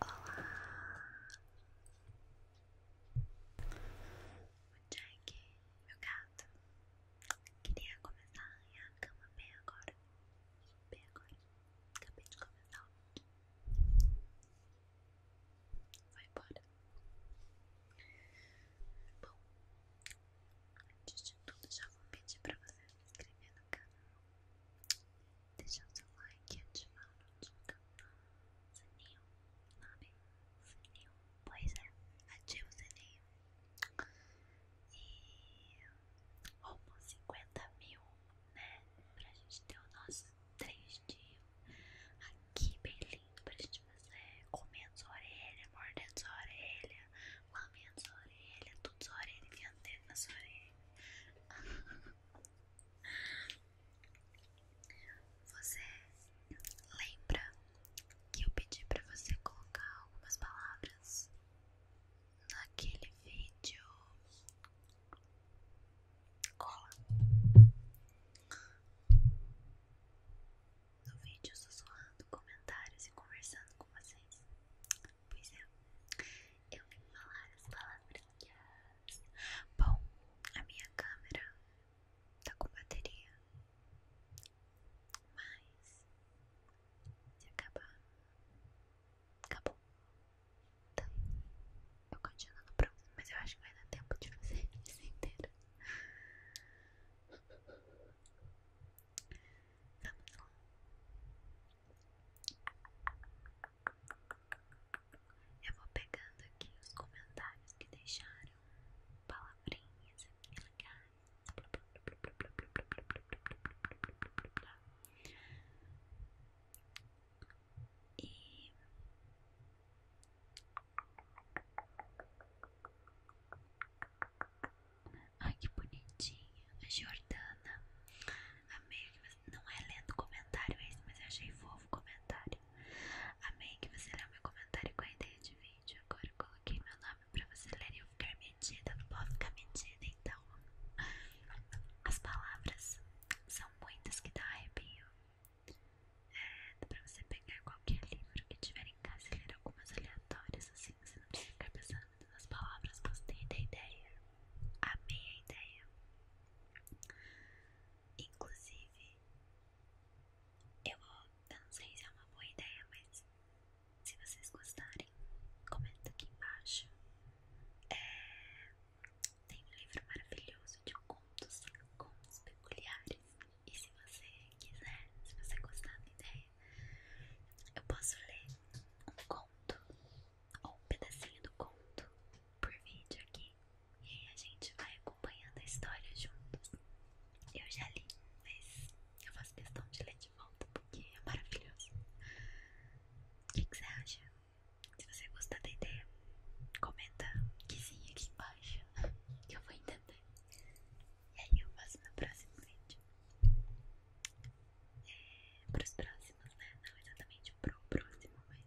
Olá! O Jack, meu gato, queria começar a arranhar a cama bem agora. Bem agora. Acabei de começar o vídeo. Vai embora. Bom, antes de tudo, já vou pedir pra você se inscrever no canal deixa seu like e ativar a notificação. Sininho, sabe? Sininho, pois é, ativa o sininho. E rumo 50 mil, né? Pra gente ter o nosso 3 dias aqui bem lindo pra gente fazer comendo sua orelha, mordendo sua orelha, lamendo sua orelha, tudo sua orelha, enfiando dedo sua orelha. Você lembra que eu pedi para você colocar algumas palavras naquele vídeo? Cola. No vídeo sussurrando comentários e conversando com vocês. Pois é eu vim falar as palavrinhas. Bom, a minha câmera tá com bateria, mas se acabar, acabou. Então, eu continuo no próximo, mas eu acho que vai dar tempo de fazer isso inteiro. Vamos lá. Eu vou pegando aqui os comentários que deixaram palavrinhas aqui legais. E Ai que bonitinho, a Jordana. Amei o que não é lendo comentário esse, mas eu achei fofo o comentário. Amei que você leu meu comentário com a ideia de vídeo. Agora eu coloquei meu nome pra você ler e eu ficar medida. pode ficar medida, então. As palavras são muitas que dá arrepio. É, dá pra você pegar qualquer livro que tiver em casa e ler algumas aleatórias, assim, você não precisa ficar pensando nas palavras. Gostei da ideia. Amei a ideia. Inclusive, eu, não sei se é uma boa ideia, mas se vocês gostarem, comenta aqui embaixo. É, tem um livro maravilhoso de contos, contos peculiares. E se você quiser, se você gostar da ideia, eu posso ler um conto ou um pedacinho do conto por vídeo aqui e aí a gente vai acompanhando a história juntos. Eu já li, mas eu faço questão de ler de volta porque é maravilhoso. O que, você acha? Se você gostar da ideia, comenta que sim aqui embaixo que eu vou entender. E aí eu faço no próximo vídeo. É, para os próximos, né? Não exatamente pro próximo, mas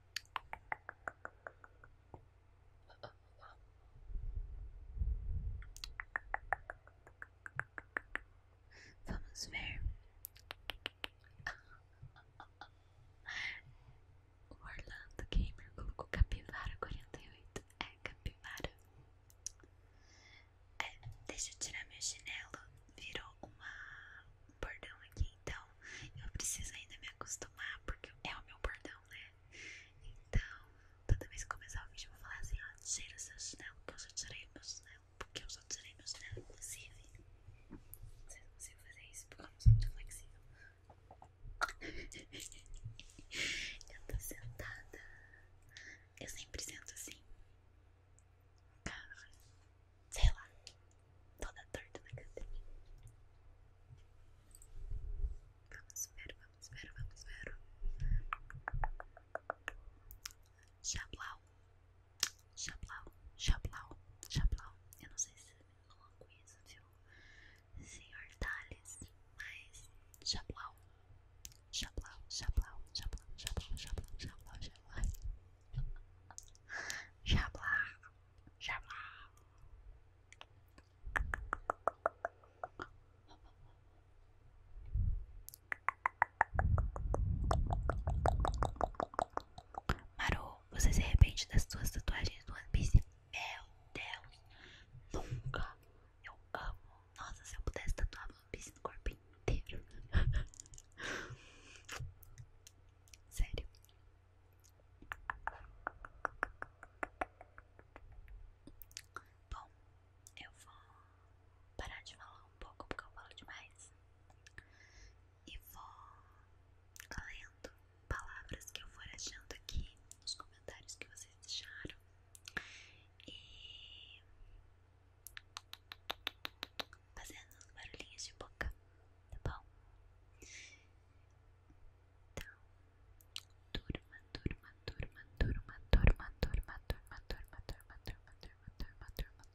Vamos ver. O Orlando Gamer colocou capivara oito É capivara. É, deixa eu tirar minha chinelo. Virou uma um bordão aqui, então eu preciso ainda me acostumar, porque é o meu bordão, né? Então, toda vez que começar o vídeo, eu vou falar assim: ó, tira seu chinelo, que eu já tirei meu chinelo, porque eu já tirei meu chinelo, inclusive. Vocês não conseguem fazer isso porque eu não sou muito flexível. eu tô sentada. Eu sempre sento assim. Cara, sei lá toda torta na cadeira. Vamos ver, vamos ver, vamos ver. Chablau, Chablau, Chablau, Chablau. Eu não sei se eu não conheço, viu? Senhor Thales, mas Chablau, Chablau, Chablau, Chablau, Chablau, Chablau, Chablau, Chablau. Chablau. Já Maru, você se arrepende das suas tatuagens do One Piece? Meu Deus, nunca. Eu amo. Nossa, se eu pudesse tatuar One Piece no corpo inteiro. Sério, Bom, eu vou parar de falar um pouco porque eu falo demais e vou lendo palavras que eu for achando aqui nos comentários que vocês deixaram e fazendo uns barulhinhos de boca, tá bom? Então, turma, turma, turma, turma, turma, turma, turma, turma, turma, turma, turma, turma, turma, turma,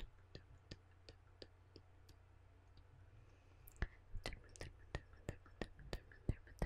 turma, turma, turma, turma, turma,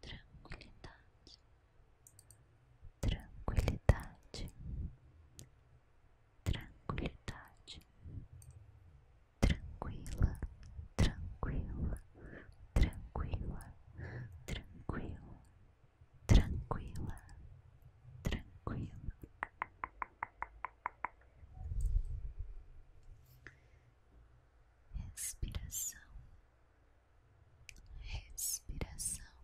tranquilidade, tranquilidade, tranquilidade, tranquila, tranquila, tranquila, tranquila, tranquila, tranquila respiração, respiração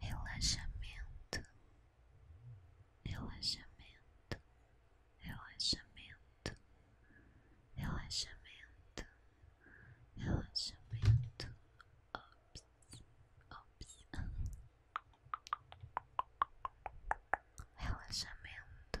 relaxamento, relaxamento, relaxamento, relaxamento, relaxamento, ops, ops, relaxamento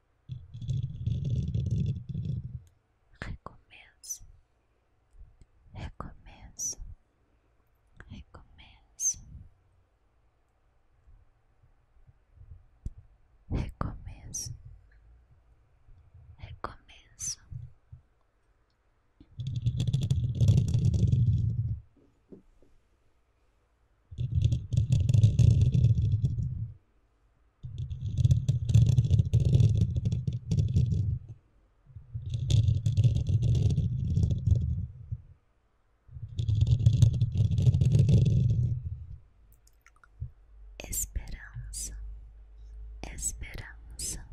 recomeça, recomeço, recomeço, recomeço, recomeço. Recomeço, Esperança, esperança,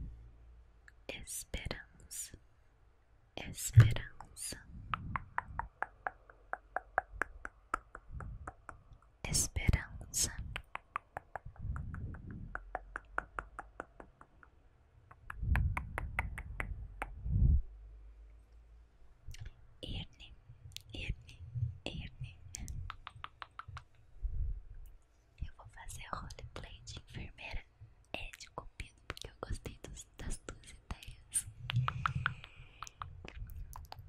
esperança, esperança esperança. Irne, Irne, Irne. Eu vou fazer o roleplay de enfermeira é de cupido, porque eu gostei das duas ideias.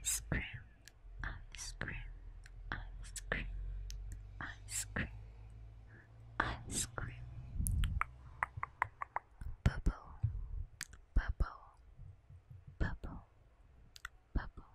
Ice cream, ice cream, ice cream, ice cream, ice cream. Bubble, bubble, bubble, bubble.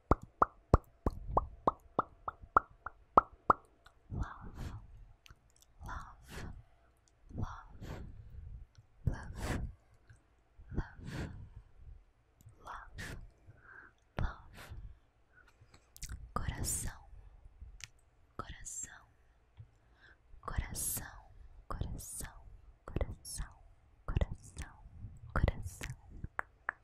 Love, love, love, love, love, love, love, coração, coração, coração, coração, coração, coração, coração.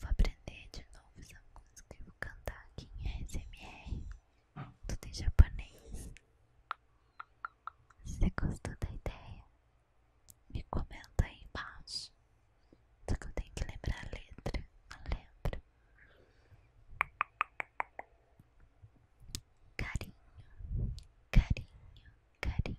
Vou aprender de novo essa música e vou cantar aqui em SMR. Tudo em japonês. Se você gostou da ideia, me comenta aí embaixo. Só que eu tenho que lembrar a letra. Não lembro. Carinho, carinho, carinho.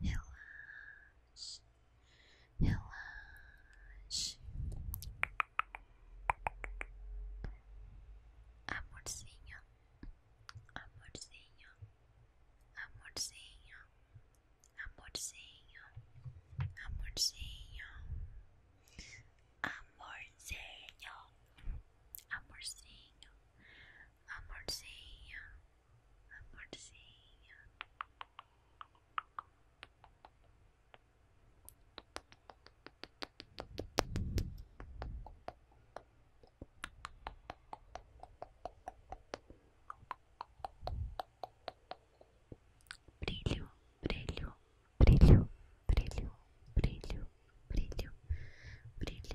relaxe, relaxe, amorzinho, amorzinho, amorzinho, amorzinho, amorzinho, amorzinho, amorzinho, amorzinho amorzinho. Brilho, brilho, brilho, brilho, brilho, brilho, brilho,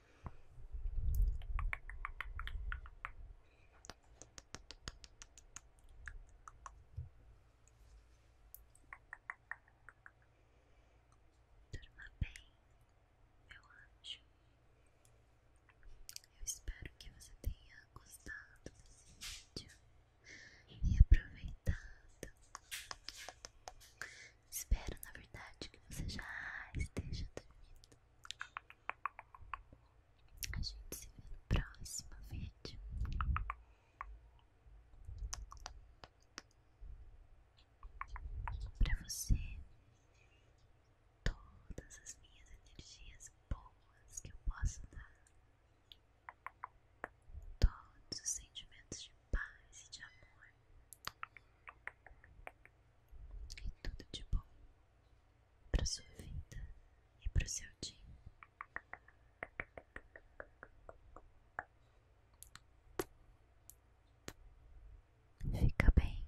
Durma bem, meu anjo. Eu espero que você tenha gostado desse vídeo e aproveitado. Espero, na verdade, que você já esteja dormindo. A gente se vê no próximo vídeo. para você, todas as minhas energias boas que eu posso dar, todos os sentimentos de paz e de amor e tudo de bom para sua vida e para o seu dia. Fica bem.